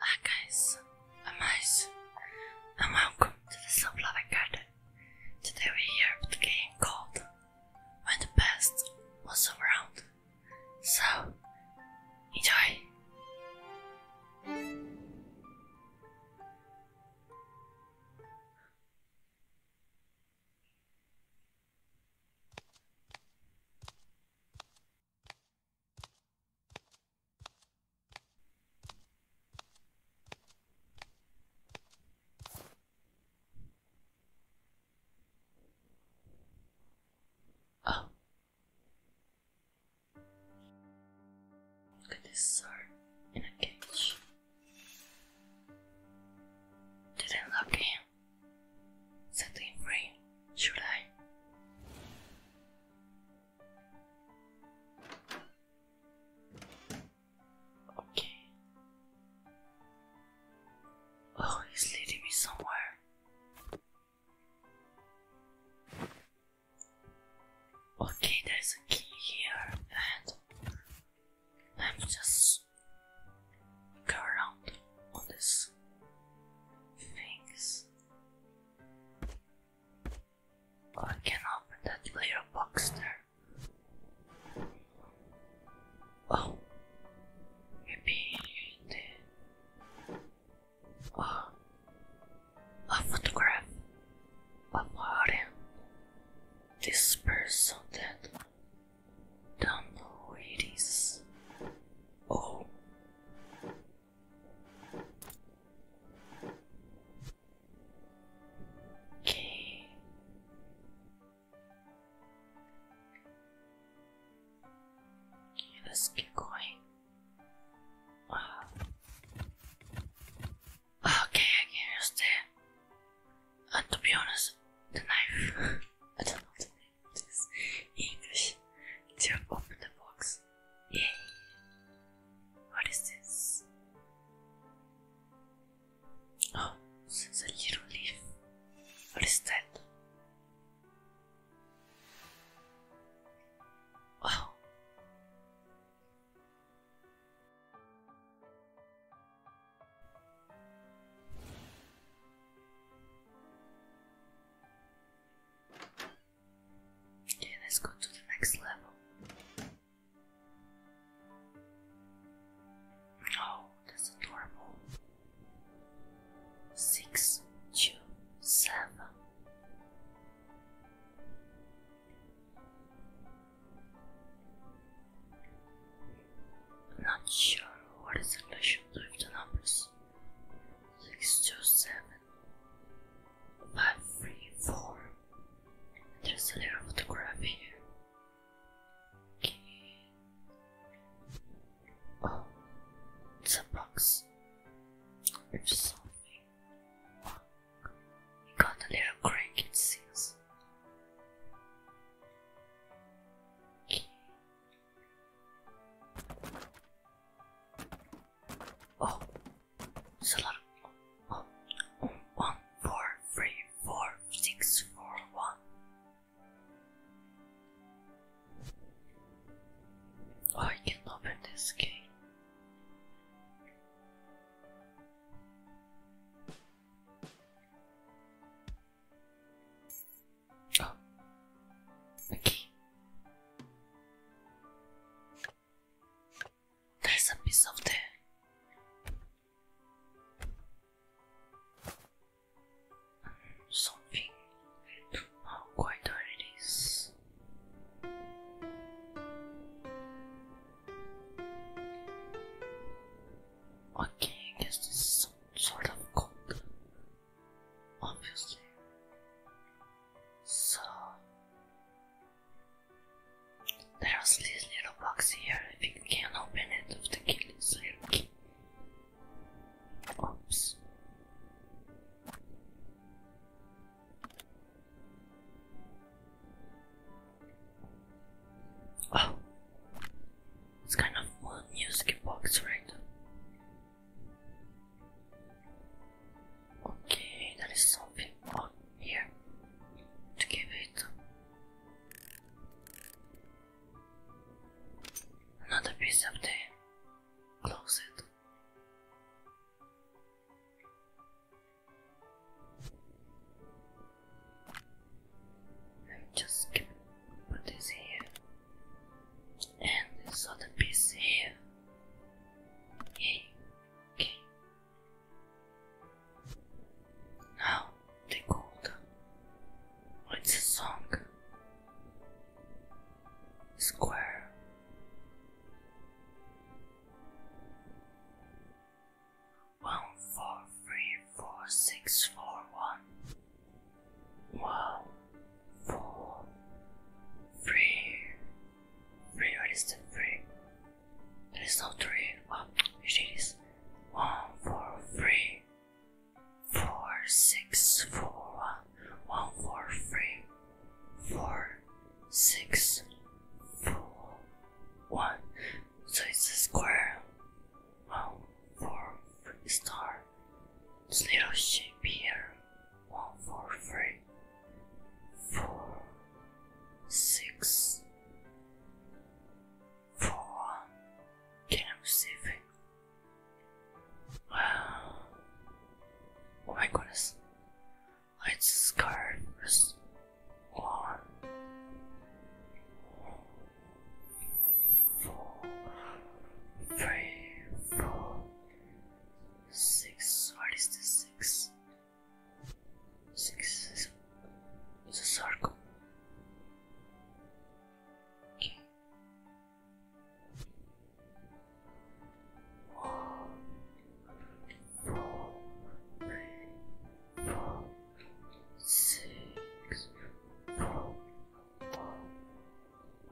Hi guys, I'm Ice, and welcome to the Slow Loving Garden. Today we're here game called When the Past Was Around. So, enjoy! look at this sword in a cage. Did I lock him? Set him should I? Okay. Oh, he's leading me somewhere. Okay, there's a key here, and let's just go around on these things. I can open that layer box there. Oh, maybe the oh. a photograph of Harem. This person that don't know who it is. Oh, Okay. Okay, let's keep going. Okay, I can use the. And uh, to be honest, the knife. I don't know this English to open the box. Yay! What is this? Oh, it's a little leaf. What is that? Wow. Okay, let's go to the next level. Oh, that's adorable. Six, not sure what is the relation with the numbers six two seven five three four. And there's a little photograph here. Okay. Oh, it's a box. There's something. Oh, it got a little crank it seems. Okay. Oh, oh, oh, one, four, three, four, six, four, one. Oh, I can open this game. Oh, There's a piece of there. Something. How quite it is. Okay, guess this is sort of gold obviously. So, there's this little box here. I think can open it with the key. This Oops. Oh, it's kind of a music box, right? Okay, there is something on here to give it. Another piece of the closet. Let me just what is here, and this other piece here. Okay, okay. Now the gold. What's the song? Square. One four three four six four one one, four, three. Three, what is the three? There is no three. What? It is one, four, three, four, six, four, one, one, four, three, four, six, four, one. So it's a square. One, four, three, star. This little sheep here. One, four, three, four, six, four, one. Can I receive it? Oh my goodness. Let's one four, three, four, six. What is this? Six. Six is a circle. Okay.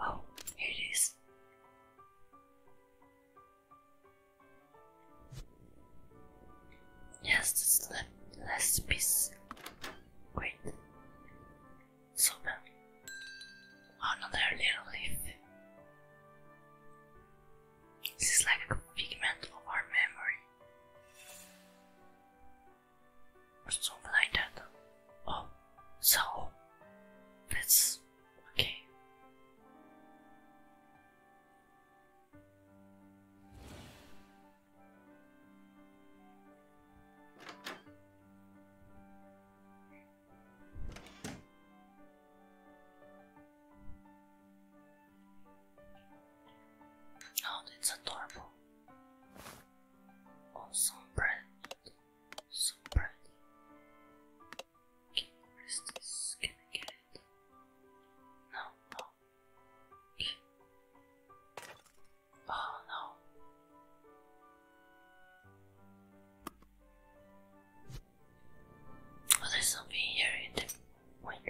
Oh, here it is. Yes, the last piece. Great. Super. Oh, another little leaf. This is like a figment of our memory or something like that. Oh, so that's okay. Oh, that's adorable. Oh, some bread. some bread. Can this? Can I get No, no. Oh no. Oh, there's something here in the wonderful.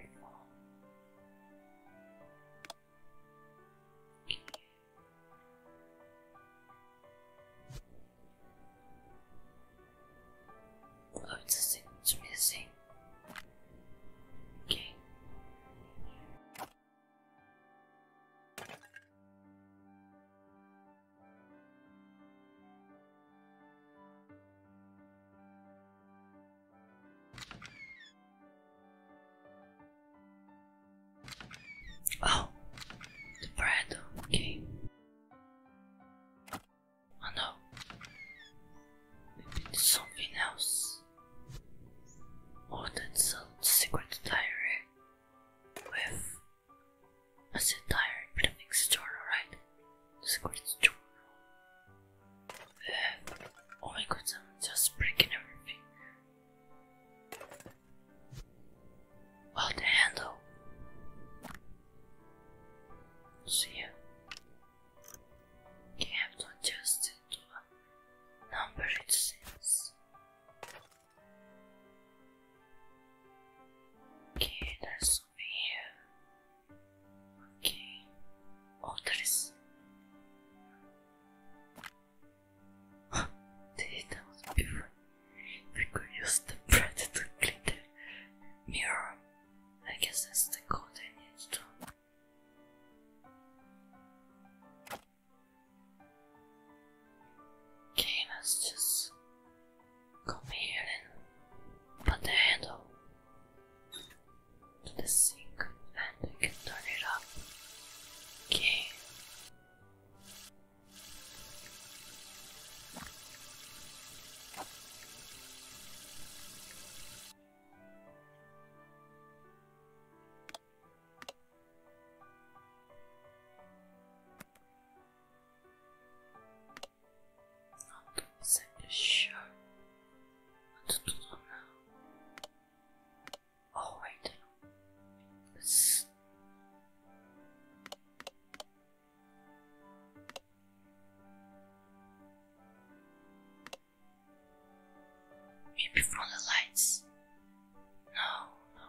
Oh, it's a thing. It's really a thing. Okay. Oh, the bread, okay. Oh no, something else. Oh, that's a secret diary with a set diary prefix journal, right? The secret journal. Uh, oh my god, I'm just breaking everything. What the handle? See ya. You have to adjust to a number it seems. Okay, there's something here. Okay. Oh, did that was before. We could use the bread to clean the mirror. I guess that's the code I need just come here and put the handle to the sink and we can turn it up. Okay. Not exactly sure what to do now. Oh wait. Maybe from the lights. No, no.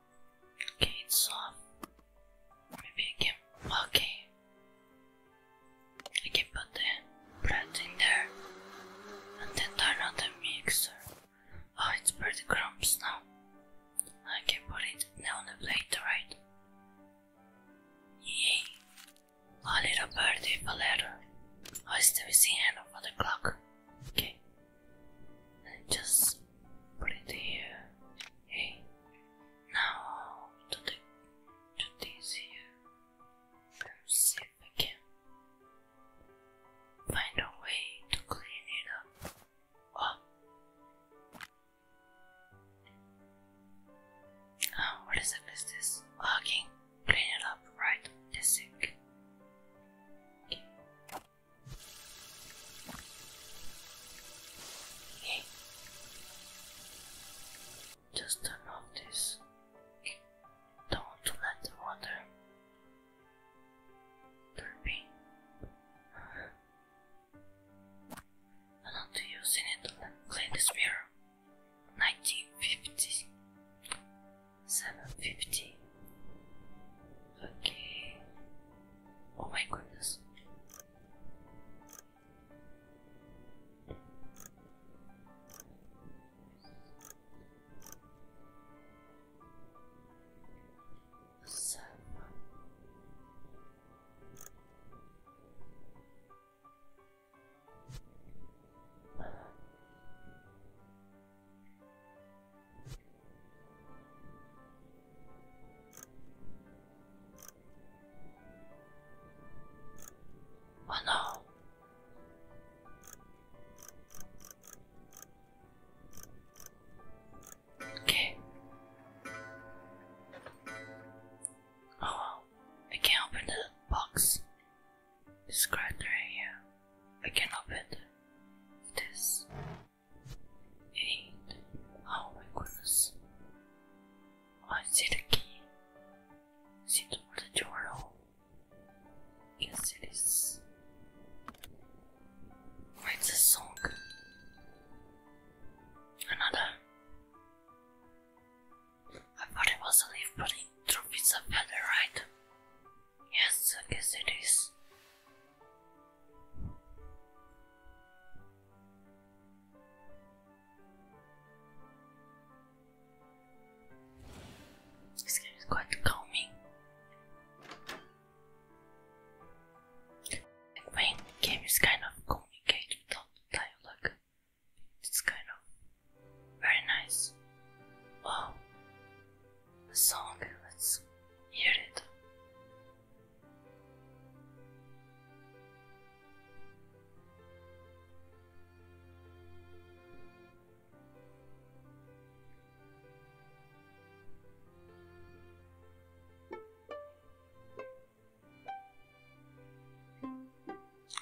Okay, it's Maybe I Okay. I can put the bread in there and then turn on the mixer. Oh, it's pretty crumbs now. I can put it now on the plate, right? Yay! A little birdie, a letter. Oh, missing hand of the clock. Okay, just put it here. Okay. Now to the to this here. Let's see if find a way to clean it up. Oh. oh what is it? Is this? Oh, clean it up, right? This sick. Okay. Hey. Just turn Don't let the water turpy. I want to use it to clean this mirror. 1950 Okay. Oh my goodness. So. Oh Okay. Oh, I can open the box. This crater right here. I can open this eight. Oh my goodness. I see the key. See the journal. it is. What's song? Another. I thought it was a leaf, but it threw a feather, right? Yes, I guess it is. This game is quite calming. The game is kind of complicated without dialogue. It's kind of very nice. Wow, the song. Let's hear it.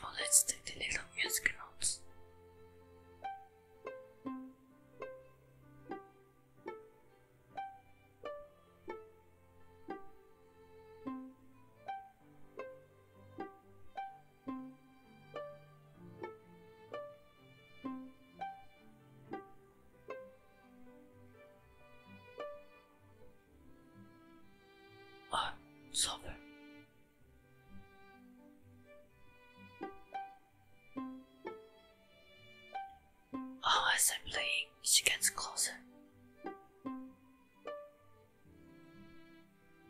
Oh, let's take the little music notes. Ah, I'm Oh, as I'm playing, she gets closer.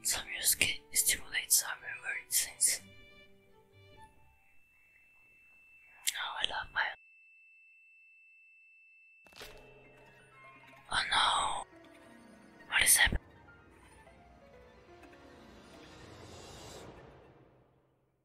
Some music stimulates our favorite Oh, I love my. Oh no! What is happening?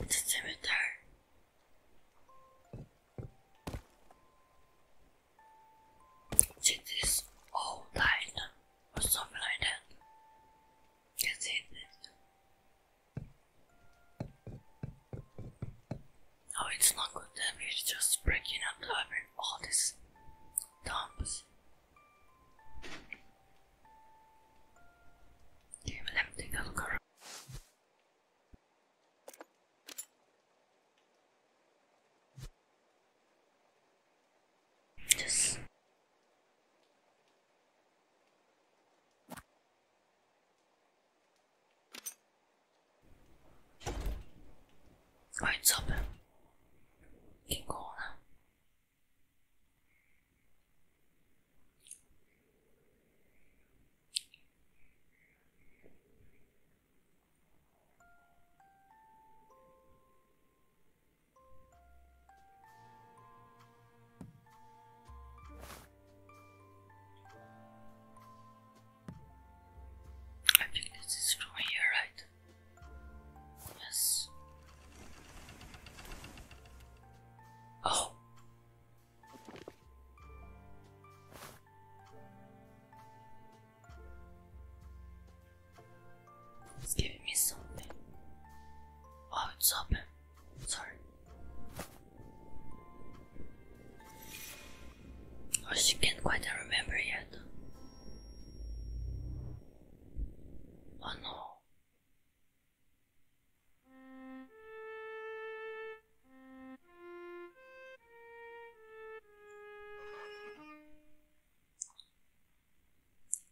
It's a scimitar. See this old line or something like You see this? No, it's not good damage, it's just breaking up all these dumps. Give me everything that'll cover. Yes. Oh, it's open. Keep I think this is from here, right? Yes. Oh. It's giving me something. Oh, it's open. Sorry. Oh, she can't quite remember yet. Oh no.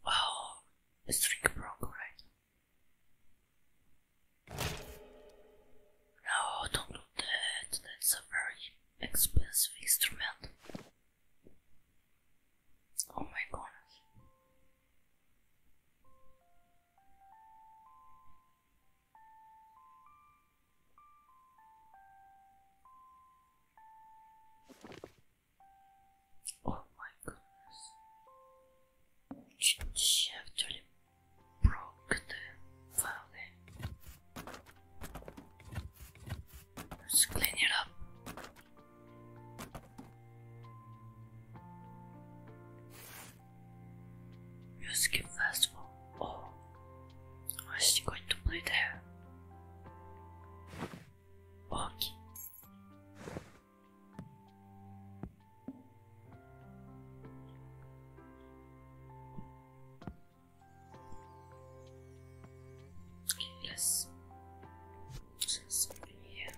Oh, the string broke, right? No, don't do that. That's a very expensive instrument. Oh my God! Oh my goodness. She, she actually broke the file. Let's clean it up. Music Festival. Oh, why is she going to play there? Okay. Okay, just here.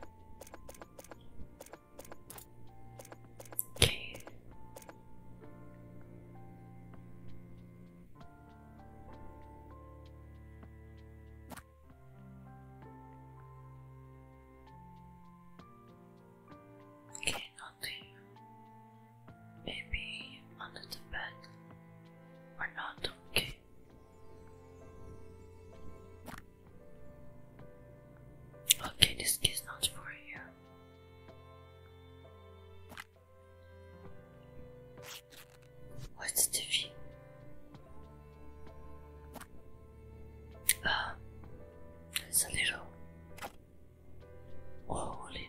Okay. Okay, nothing. Maybe under the bed or not. Okay. Okay, this is not for you. What's the fee? Ah, it's a little holy.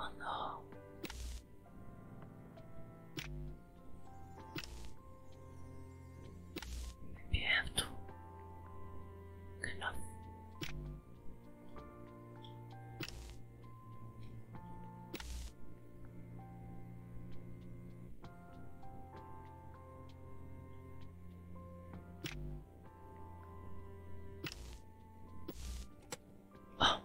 Oh no. Maybe I have to well,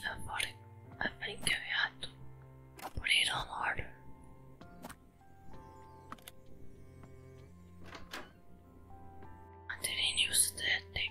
I thought it, I think we had to put it on order. I didn't use that tape.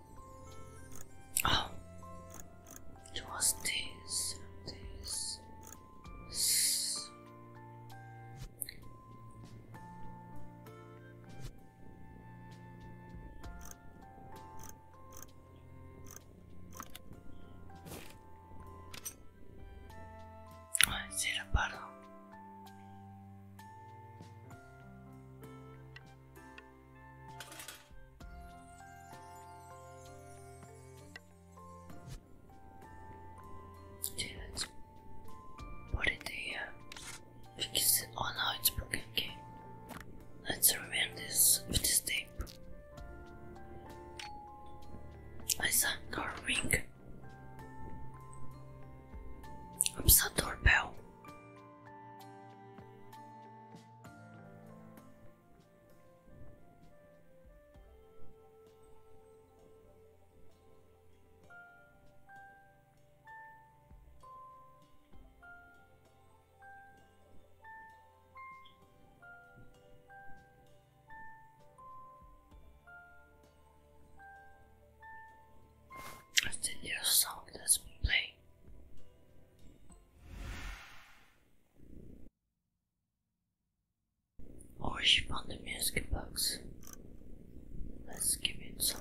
Oh, it was this, this. this. Ay, pardon let's put it here because oh no, it's broken. Okay, let's remove this with this tape. I saw a car ring. Oops, a doorbell. What's the new song that's been playing? Oh, she found the music box. Let's give it some.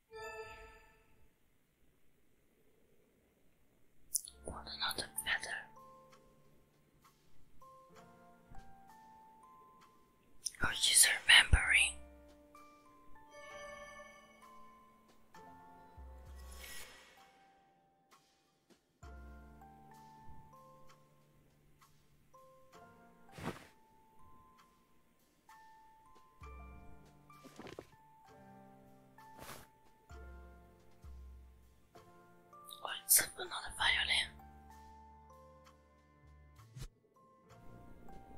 Want another feather? Oh, she's remembering. Oh, it's another violin.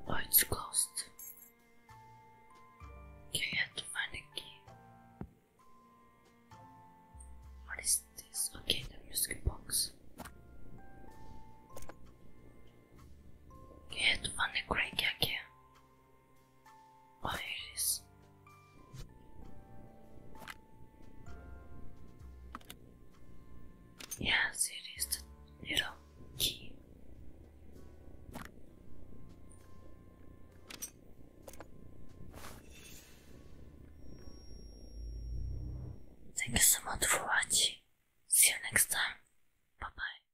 Oh, it's closed. Okay, I have What is this? Okay, the music box. Okay, I have again. Iris. Yes, it is the little key. Thank you so much for watching. See you next time. Bye bye.